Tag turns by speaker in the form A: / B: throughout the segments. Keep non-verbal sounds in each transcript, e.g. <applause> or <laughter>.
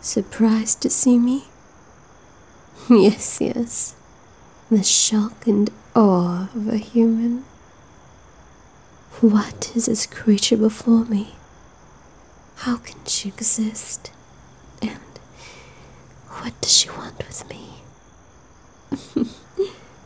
A: Surprised to see me? <laughs> Yes, yes, the shock and awe of a human. What is this creature before me? How can she exist? And what does she want with me?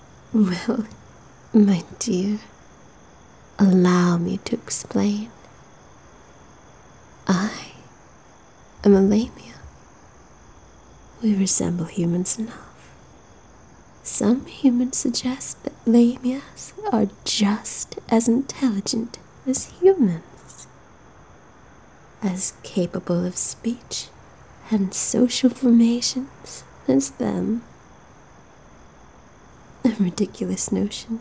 A: <laughs> well, my dear, allow me to explain. I am a lamia. We resemble humans enough. Some humans suggest that lamias are just as intelligent as humans, as capable of speech and social formations as them. A ridiculous notion,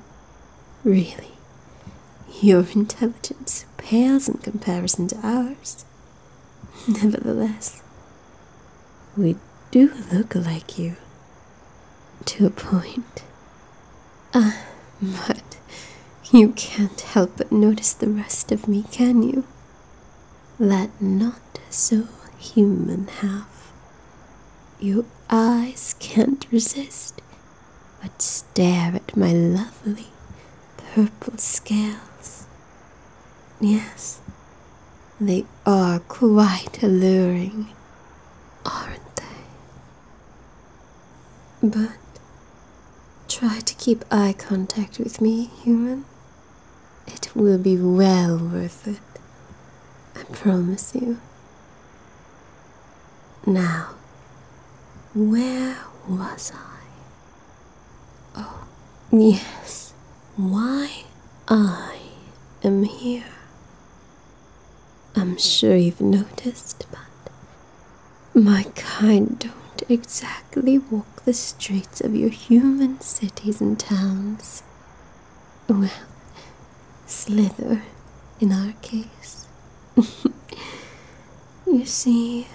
A: really. Your intelligence pales in comparison to ours. Nevertheless, we do look like you to a point. Ah, but you can't help but notice the rest of me, can you? That not so human half. Your eyes can't resist but stare at my lovely purple scales. Yes, they are quite alluring aren't they? But try to keep eye contact with me, human. It will be well worth it. I promise you. Now, where was I? Oh, yes. Why I am here. I'm sure you've noticed, but my kind don't exactly walk the streets of your human cities and towns. Well, slither in our case. <laughs> you see,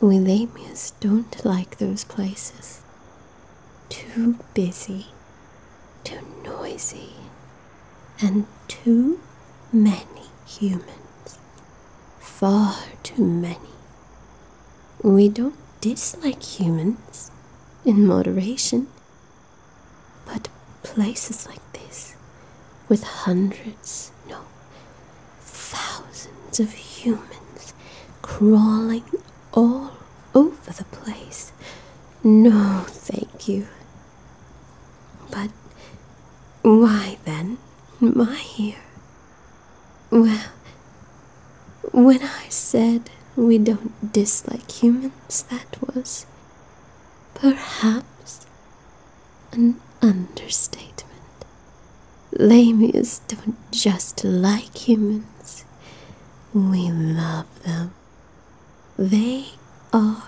A: we Lamias don't like those places too busy, too noisy, and too many humans. Far too many. We don't dislike humans in moderation, but places like this, with hundreds, no, thousands of humans crawling all over the place, no, thank you. But why then am I here? Well, when I said we don't dislike humans, that was perhaps an understatement. Lamias don't just like humans, we love them. They are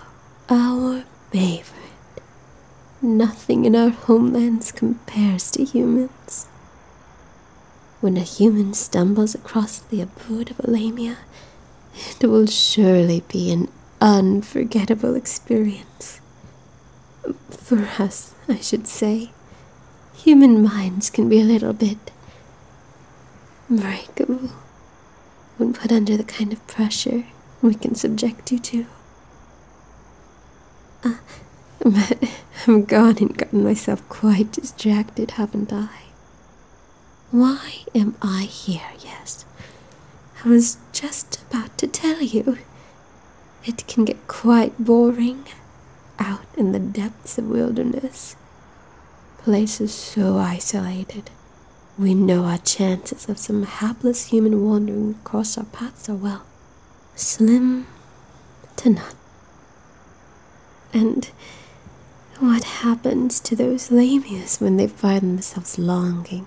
A: our favorite. Nothing in our homelands compares to humans. When a human stumbles across the abode of Alamia, it will surely be an unforgettable experience. For us, I should say. Human minds can be a little bit Breakable when put under the kind of pressure we can subject you to. Uh, <laughs> but I've gone and gotten myself quite distracted, haven't I? Why am I here, yes? I was just about to tell you. It can get quite boring out in the depths of wilderness. Places so isolated, we know our chances of some hapless human wandering across our paths are well, slim to none. And what happens to those lamias when they find themselves longing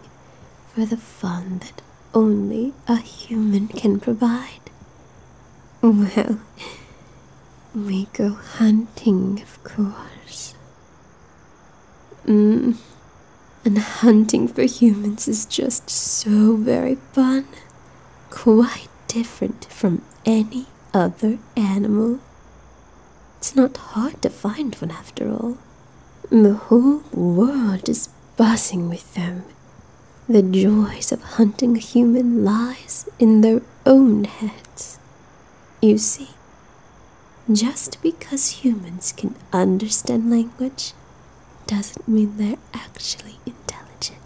A: for the fun that only a human can provide? Well, we go hunting, of course. Mm. And hunting for humans is just so very fun. Quite different from any other animal. It's not hard to find one after all. The whole world is buzzing with them, the joys of hunting human lies in their own heads. You see, just because humans can understand language doesn't mean they're actually intelligent.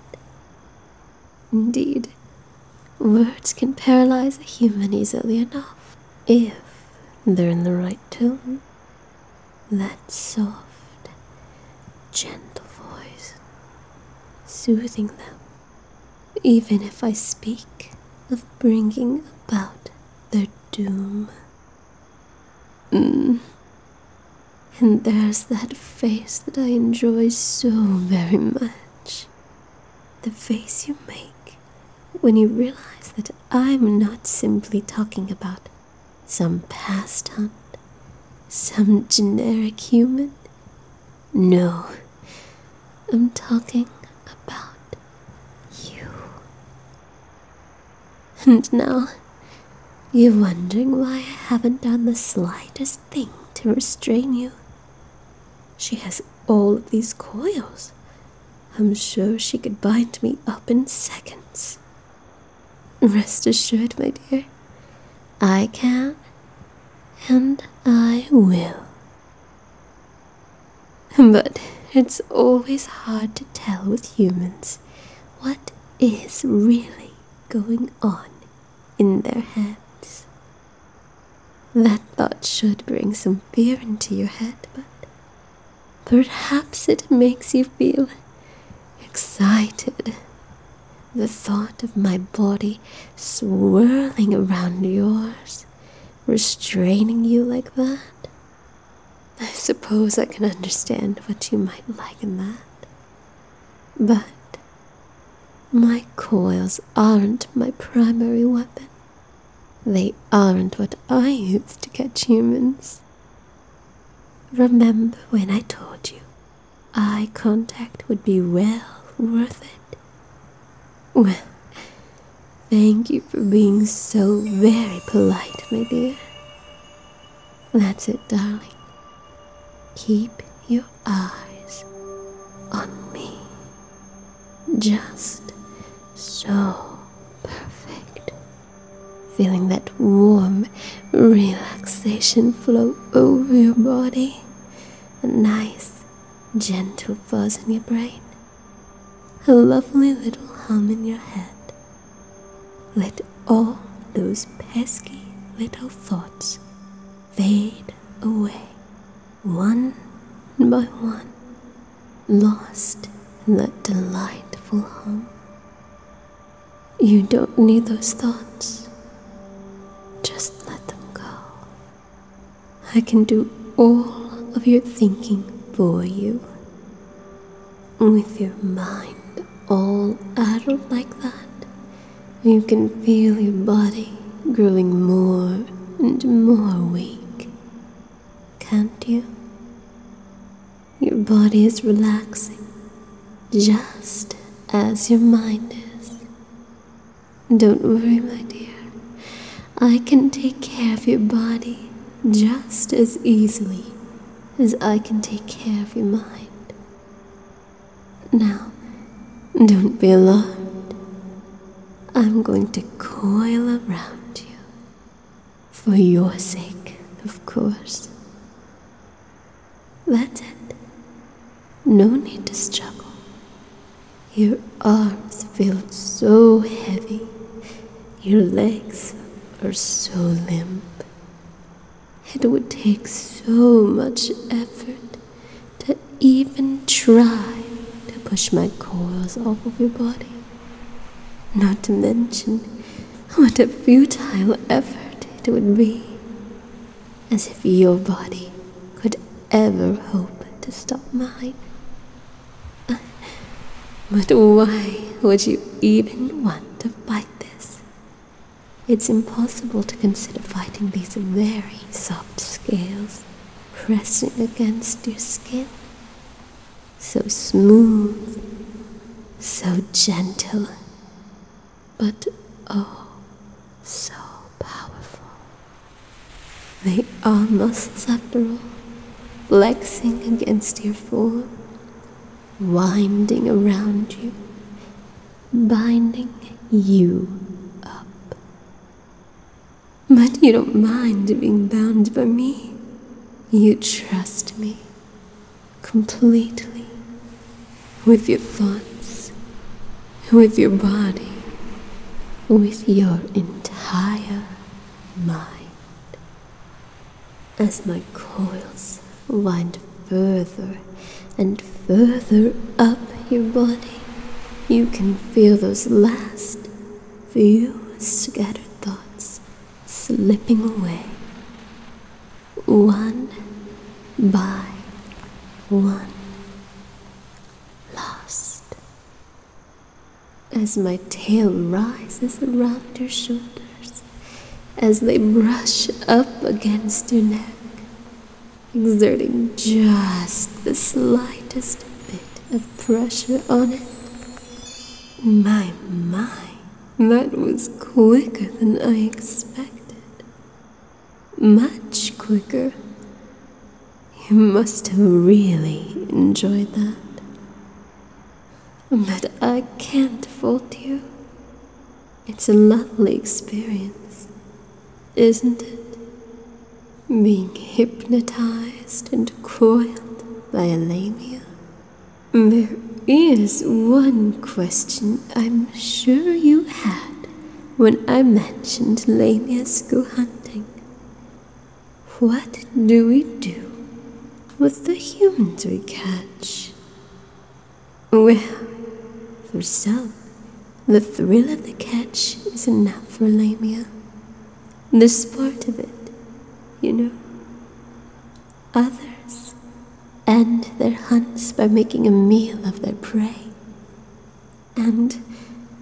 A: Indeed, words can paralyze a human easily enough if they're in the right tone. That soft, gentle voice soothing them, even if I speak of bringing about their doom. Mm, and there's that face that I enjoy so very much. The face you make when you realize that I'm not simply talking about some past hunt, some generic human. No, I'm talking about you. And now you're wondering why I haven't done the slightest thing to restrain you. She has all of these coils. I'm sure she could bind me up in seconds. Rest assured, my dear, I can and I will. But it's always hard to tell with humans what is really going on in their heads. That thought should bring some fear into your head, but perhaps it makes you feel excited. The thought of my body swirling around yours, restraining you like that. I suppose I can understand what you might like in that. But my coils aren't my primary weapon. They aren't what I use to catch humans. Remember when I told you eye contact would be well worth it? Well, thank you for being so very polite, my dear. That's it, darling. Keep your eyes on me. Just so perfect feeling that warm relaxation flow over your body, a nice, gentle buzz in your brain, a lovely little hum in your head. Let all those pesky little thoughts fade away, one by one, lost in that delightful hum. You don't need those thoughts. Just let them go. I can do all of your thinking for you. With your mind all addled like that, you can feel your body growing more and more weak, can't you? Your body is relaxing just as your mind is. Don't worry, my dear. I can take care of your body just as easily as I can take care of your mind. Now, don't be alarmed. I'm going to coil around you for your sake, of course. That's it. No need to struggle. Your arms feel so heavy. Your legs are so limp. It would take so much effort to even try to push my coils off of your body. Not to mention what a futile effort it would be. As if your body could ever hope to stop mine. <laughs> But why would you even want to fight this? It's impossible to consider fighting these very soft scales pressing against your skin so smooth, so gentle, but oh, so powerful. They are muscles after all, flexing against your form, winding around you, binding you up. But you don't mind being bound by me. You trust me completely with your thoughts, with your body, with your entire mind. As my coils wind further and further up your body, you can feel those last few scattered thoughts slipping away, one by one, lost. As my tail rises around your shoulders, as they brush up against your neck, exerting just the slightest bit of pressure on it. My, my, that was quicker than I expected. Much quicker. You must have really enjoyed that. But I can't fault you. It's a lovely experience, isn't it? being hypnotized and coiled by a lamia? There is one question I'm sure you had when I mentioned lamias go hunting. What do we do with the humans we catch? Well, for some, the thrill of the catch is enough for Lamia. This part of it, you know. Others end their hunts by making a meal of their prey. And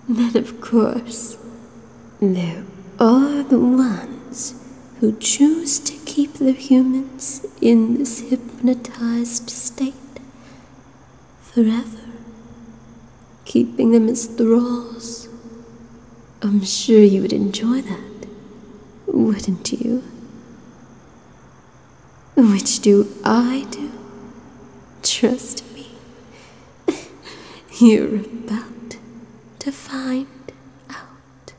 A: then, of course, there are the ones who choose to keep the humans in this hypnotized state forever, keeping them as thralls. I'm sure you would enjoy that, wouldn't you? Which do I do? Trust me, <laughs> you're about to find out.